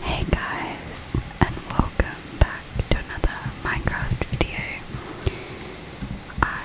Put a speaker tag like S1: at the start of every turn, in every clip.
S1: Hey guys, and welcome back to another Minecraft video. I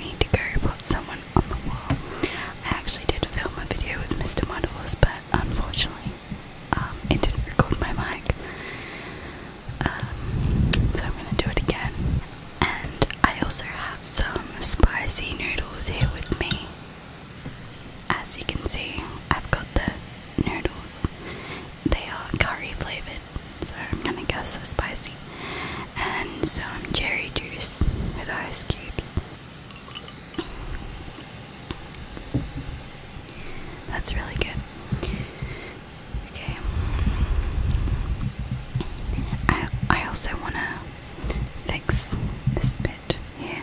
S1: need to go put someone on the wall. I actually did film a video with Mr. Models, but unfortunately, um, it didn't record my mic. Um, so I'm gonna do it again. And I also have some spicy noodles here with me. As you can see, I've got the noodles. They are curry flavored, so I'm gonna guess they're spicy. And some cherry juice with ice cubes. That's really good. Okay. I I also wanna fix this bit here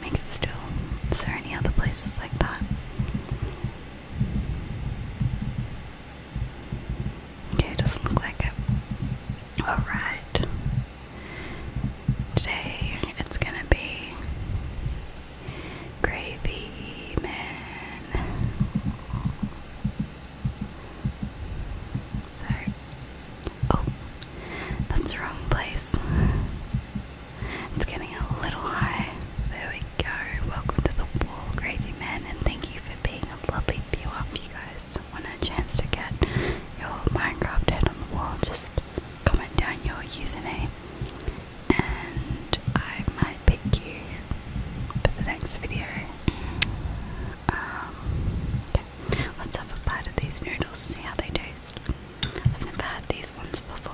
S1: make it still. Is there any other places like that? Okay, doesn't look like it. Alright. Today it's gonna be Gravy Man. So Oh, that's the wrong place. It's getting a little high. There we go. Welcome to the wall, Gravy Man, and thank you for being a lovely viewer. If you guys want a chance to get your Minecraft head on the wall, just comment down your username and I might pick you for the next video. Um, Let's have a bite of these noodles, see how they taste. I've never had these ones before.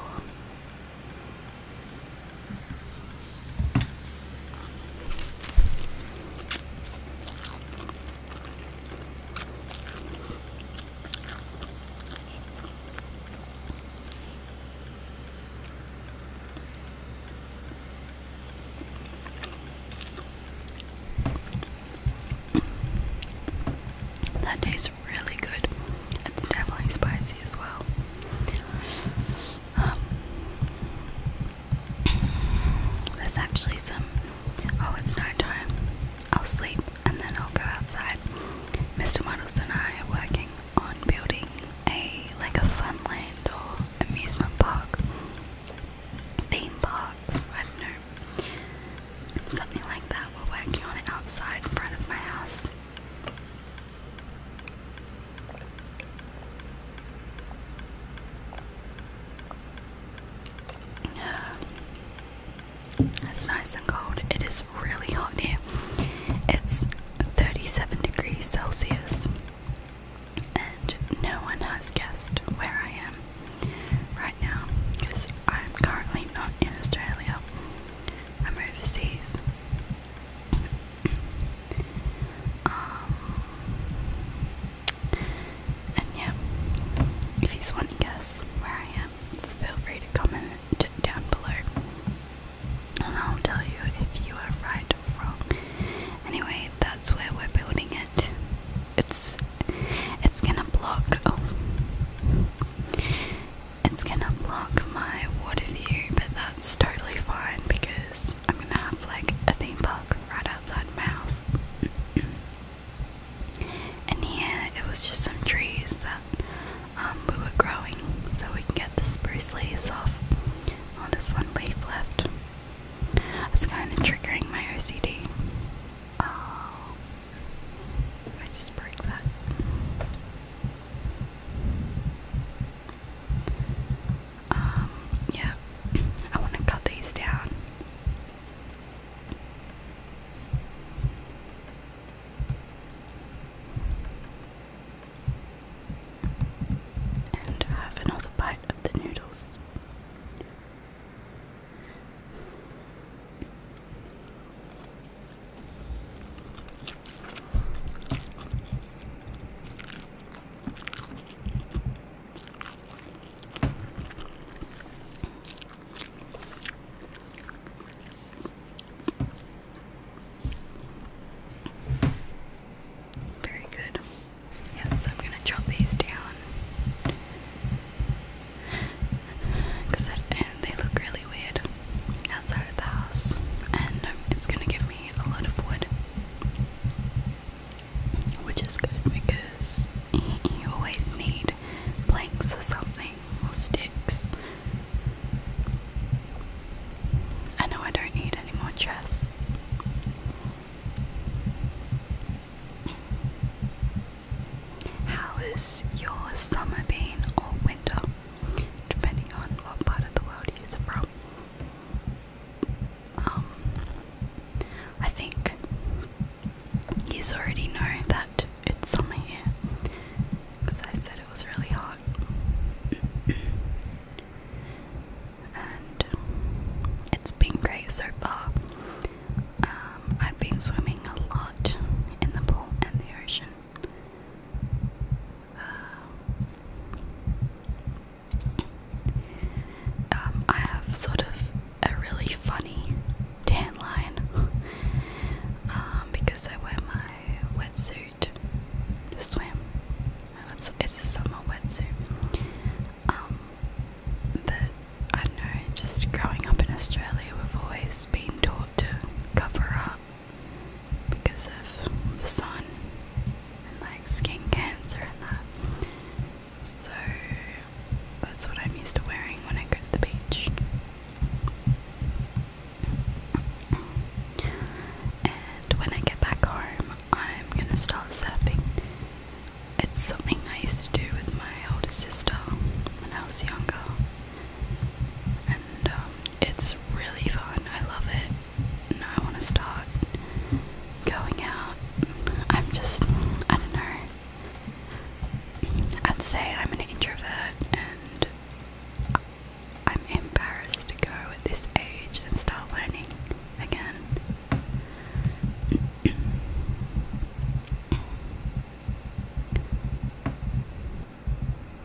S1: That tastes really good. It's definitely spicy as well. Um, there's actually some. Oh, it's night I'll sleep and then I'll go outside. Mr. Models and I are working on building a like a funland or amusement park theme park, I don't know, something like that. We're working on it outside in front of my house. Uh, it's nice and cold. It is really hot here. It's 37 degrees Celsius and no one has guessed where I am right now because I'm currently not in Australia, I'm overseas. Um, and yeah, if you want to guess where I am, just feel free to comment down below and I'll tell you if you are right or wrong. Anyway, that's where we're building it's it's gonna block oh it's gonna block my water view, but that's totally fine because I'm gonna have like a theme park right outside my house. and here it was just some trees that um, we were growing so we can get the spruce leaves off. Oh, this one leaf left. It's kind of triggering my OCD. Oh, I just broke that. Um, yeah, I want to cut these down and have another bite of the noodles. Very good. Yeah, I'm gonna chop these down because they look really weird outside of the house, and um, it's gonna give me a lot of wood, which is good because you always need planks or something or sticks. I know I don't need any more dress. How is your summer been or winter, depending on what part of the world you're from? Um, I think you already know that it's summer here because I said it was really hot and it's been great so far. Um, I've been swimming a lot in the pool and the ocean. Uh, um, I have sort of a really funny tan line um, because I wear my wetsuit to swim it's, a summer wetsuit. Um, but I don't know, just growing up in Australia, we've always been taught to cover up because of the sun and like skin cancer and that. So that's what I'm used to wearing when I go to the beach and when I get back home, I'm gonna start surfing. It's something I used to do with my older sister when I was younger, and um, it's really fun. I love it, and I want to start going out. I'm just, I don't know. I'd say I'm an introvert, and I'm embarrassed to go at this age and start learning again.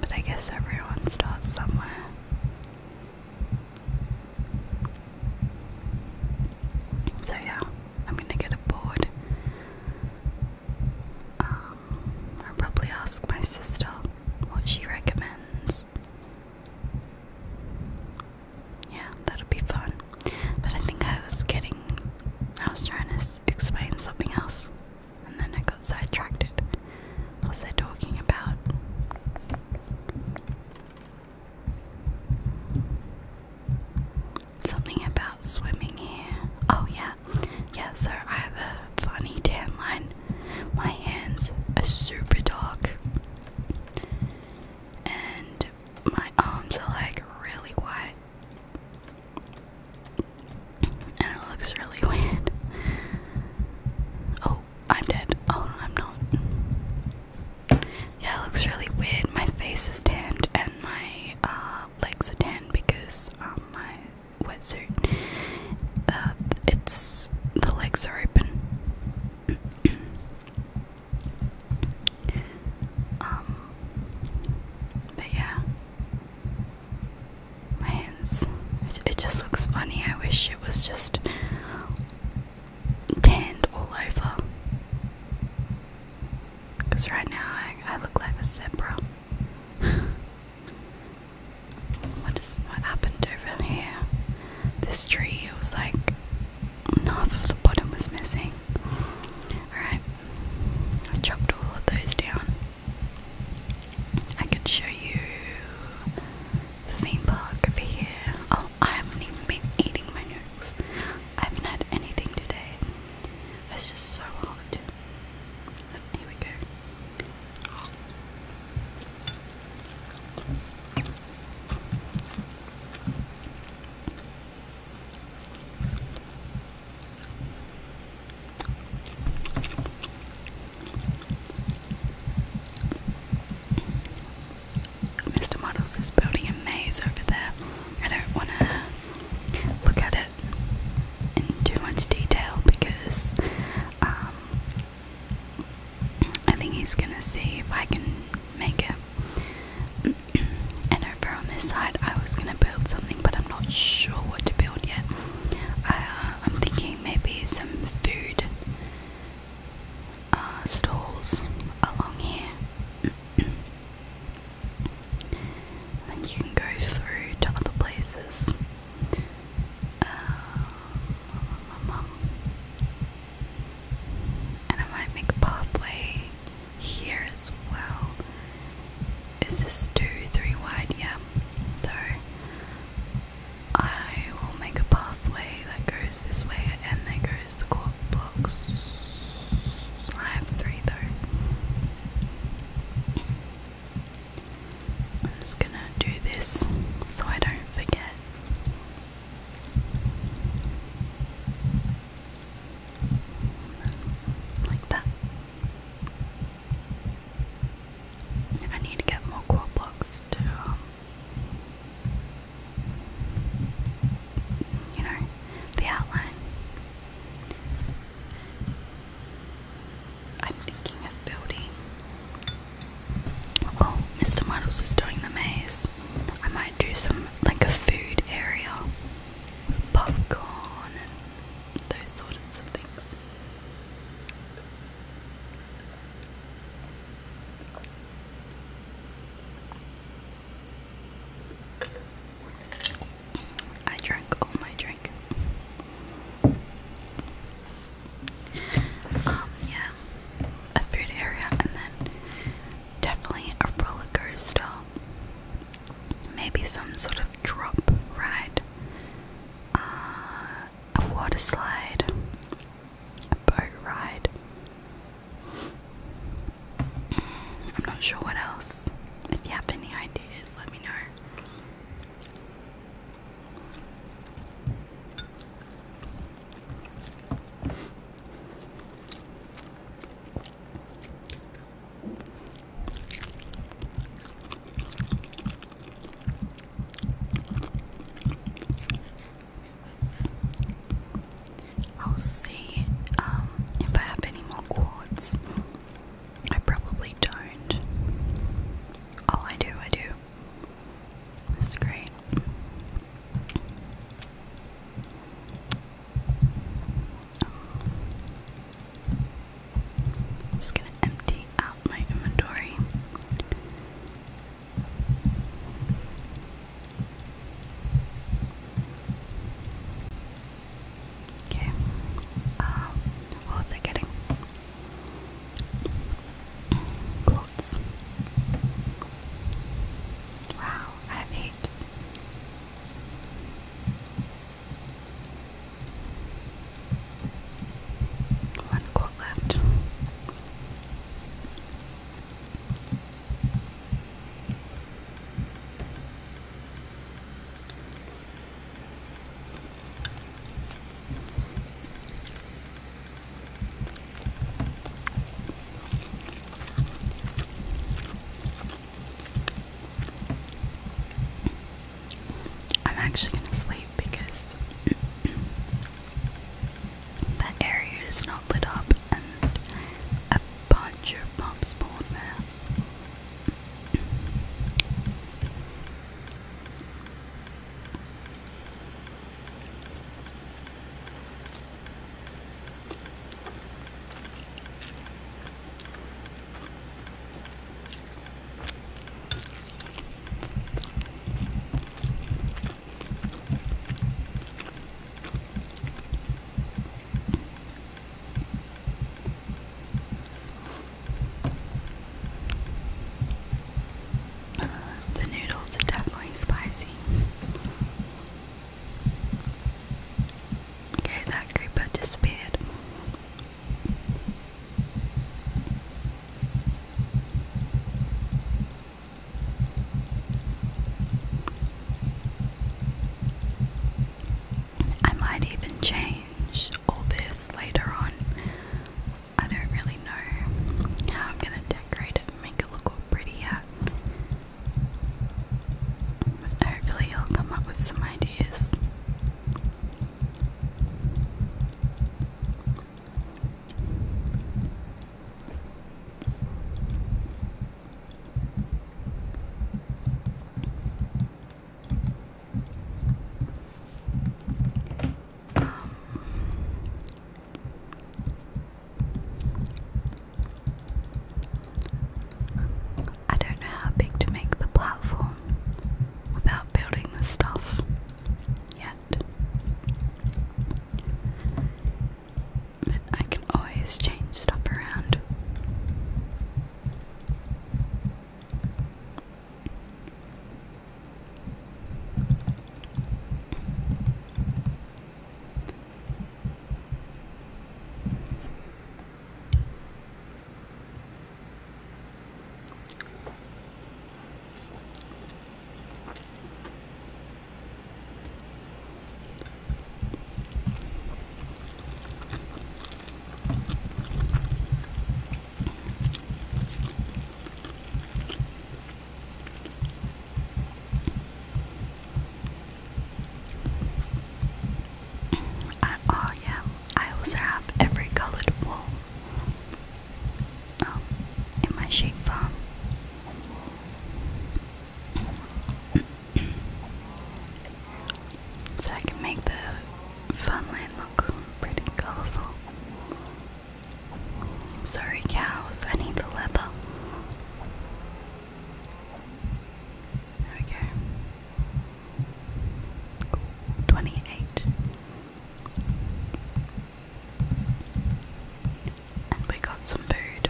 S1: but I guess everyone starts somewhere. So, yeah, I'm gonna get a board. Um, I'll probably ask my sister what she recommends. Yeah, that'll be fun. But I think I was getting, I was trying to explain something else, and then I got sidetracked. What was I talking about? Something about swimming here. Oh yeah, yeah. So I have a funny tan line. My hands are super dark. And my arms are like really white. And it looks really weird. Oh, I'm dead. Oh, I'm not. Yeah, it looks really weird. My face is tanned and my uh, legs are tanned because um, my wetsuit. Uh, it's the legs are open. Um, but yeah, my hands. It, just looks funny. I wish it was just tanned all over. Because right now I look like a zebra. What is what happened over here? This tree was like half of the bottom was missing. Alright. I chopped all of those down. I could show you the theme park over here. Oh, I haven't even been eating my noodles. I haven't had anything today. It's just so hard. Here we go. Mr. Models is building a maze over there. I don't want to look at it it in too much detail because um, I think he's gonna see if I can make it. and over on this side, I was gonna build something, but I'm not sure what to build yet. Uh, I'm thinking maybe some food uh, stalls along here. And then you can go through to other places. Uh, and I might make a pathway here as well. Is this two, three wide? Yeah. So I will make a pathway that goes this way and there goes the quartz I have three though. I'm just gonna do this so I don't forget. Like that. I need to get more core blocks to, um, you know, the outline. I'm thinking of building. Oh, Mr. Muddles is doing the maze. I might do some like a food area, popcorn, and those sorts of things. I drank all my drink. Um, yeah, a food area, and then definitely a roller coaster. Maybe some sort of drop ride, uh, a water slide, a boat ride. I'm not sure what else. If you have any ideas, let me know. I'll see um, if I have any more quartz. I probably don't. Oh, I do, I do. That's great. just gonna empty out my inventory. Okay. Um, what was I getting? Quotes. Wow, I have heaps. One quote left. I'm actually going to sleep because that area is not lit up and a bunch of mobs spawn there the noodles are definitely spicy. Okay, that creeper disappeared. I might even change all this later on. I don't really know how I'm gonna decorate it and make it look all pretty yet. hopefully, I'll come up with some ideas. I don't know how big to make the platform without building the stuff yet. But I can always change stuff around. I, oh yeah, I also have every colored wool in my shape farm. so I can make the funland look pretty colorful. Sorry, cows, I need the leather. There we go. Twenty eight we got some food.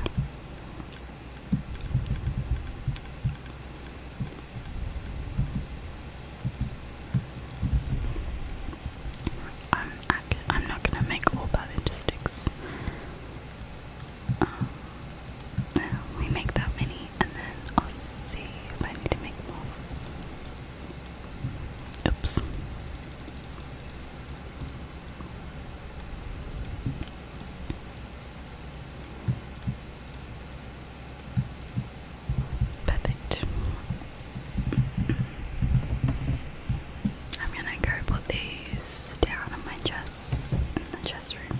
S1: I'm not gonna make all that into sticks. Um, we make that many, and then I'll see if I need to make more. Oops. Perfect. I'm gonna go put these down on my chest in the chest room.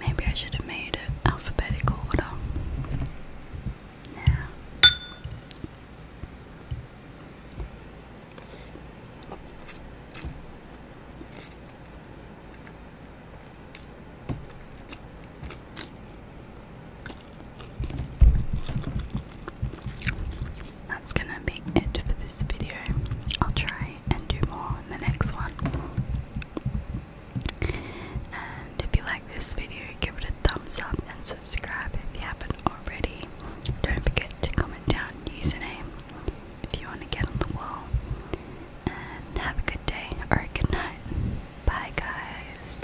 S1: Maybe I should have made it alphabetical order. That's gonna be it for this video. I'll try and do more in the next one. And if you like this video, give it a thumbs up and subscribe if you haven't already. Don't forget to comment down username if you want to get on the wall. And have a good day or a good night. Bye, guys.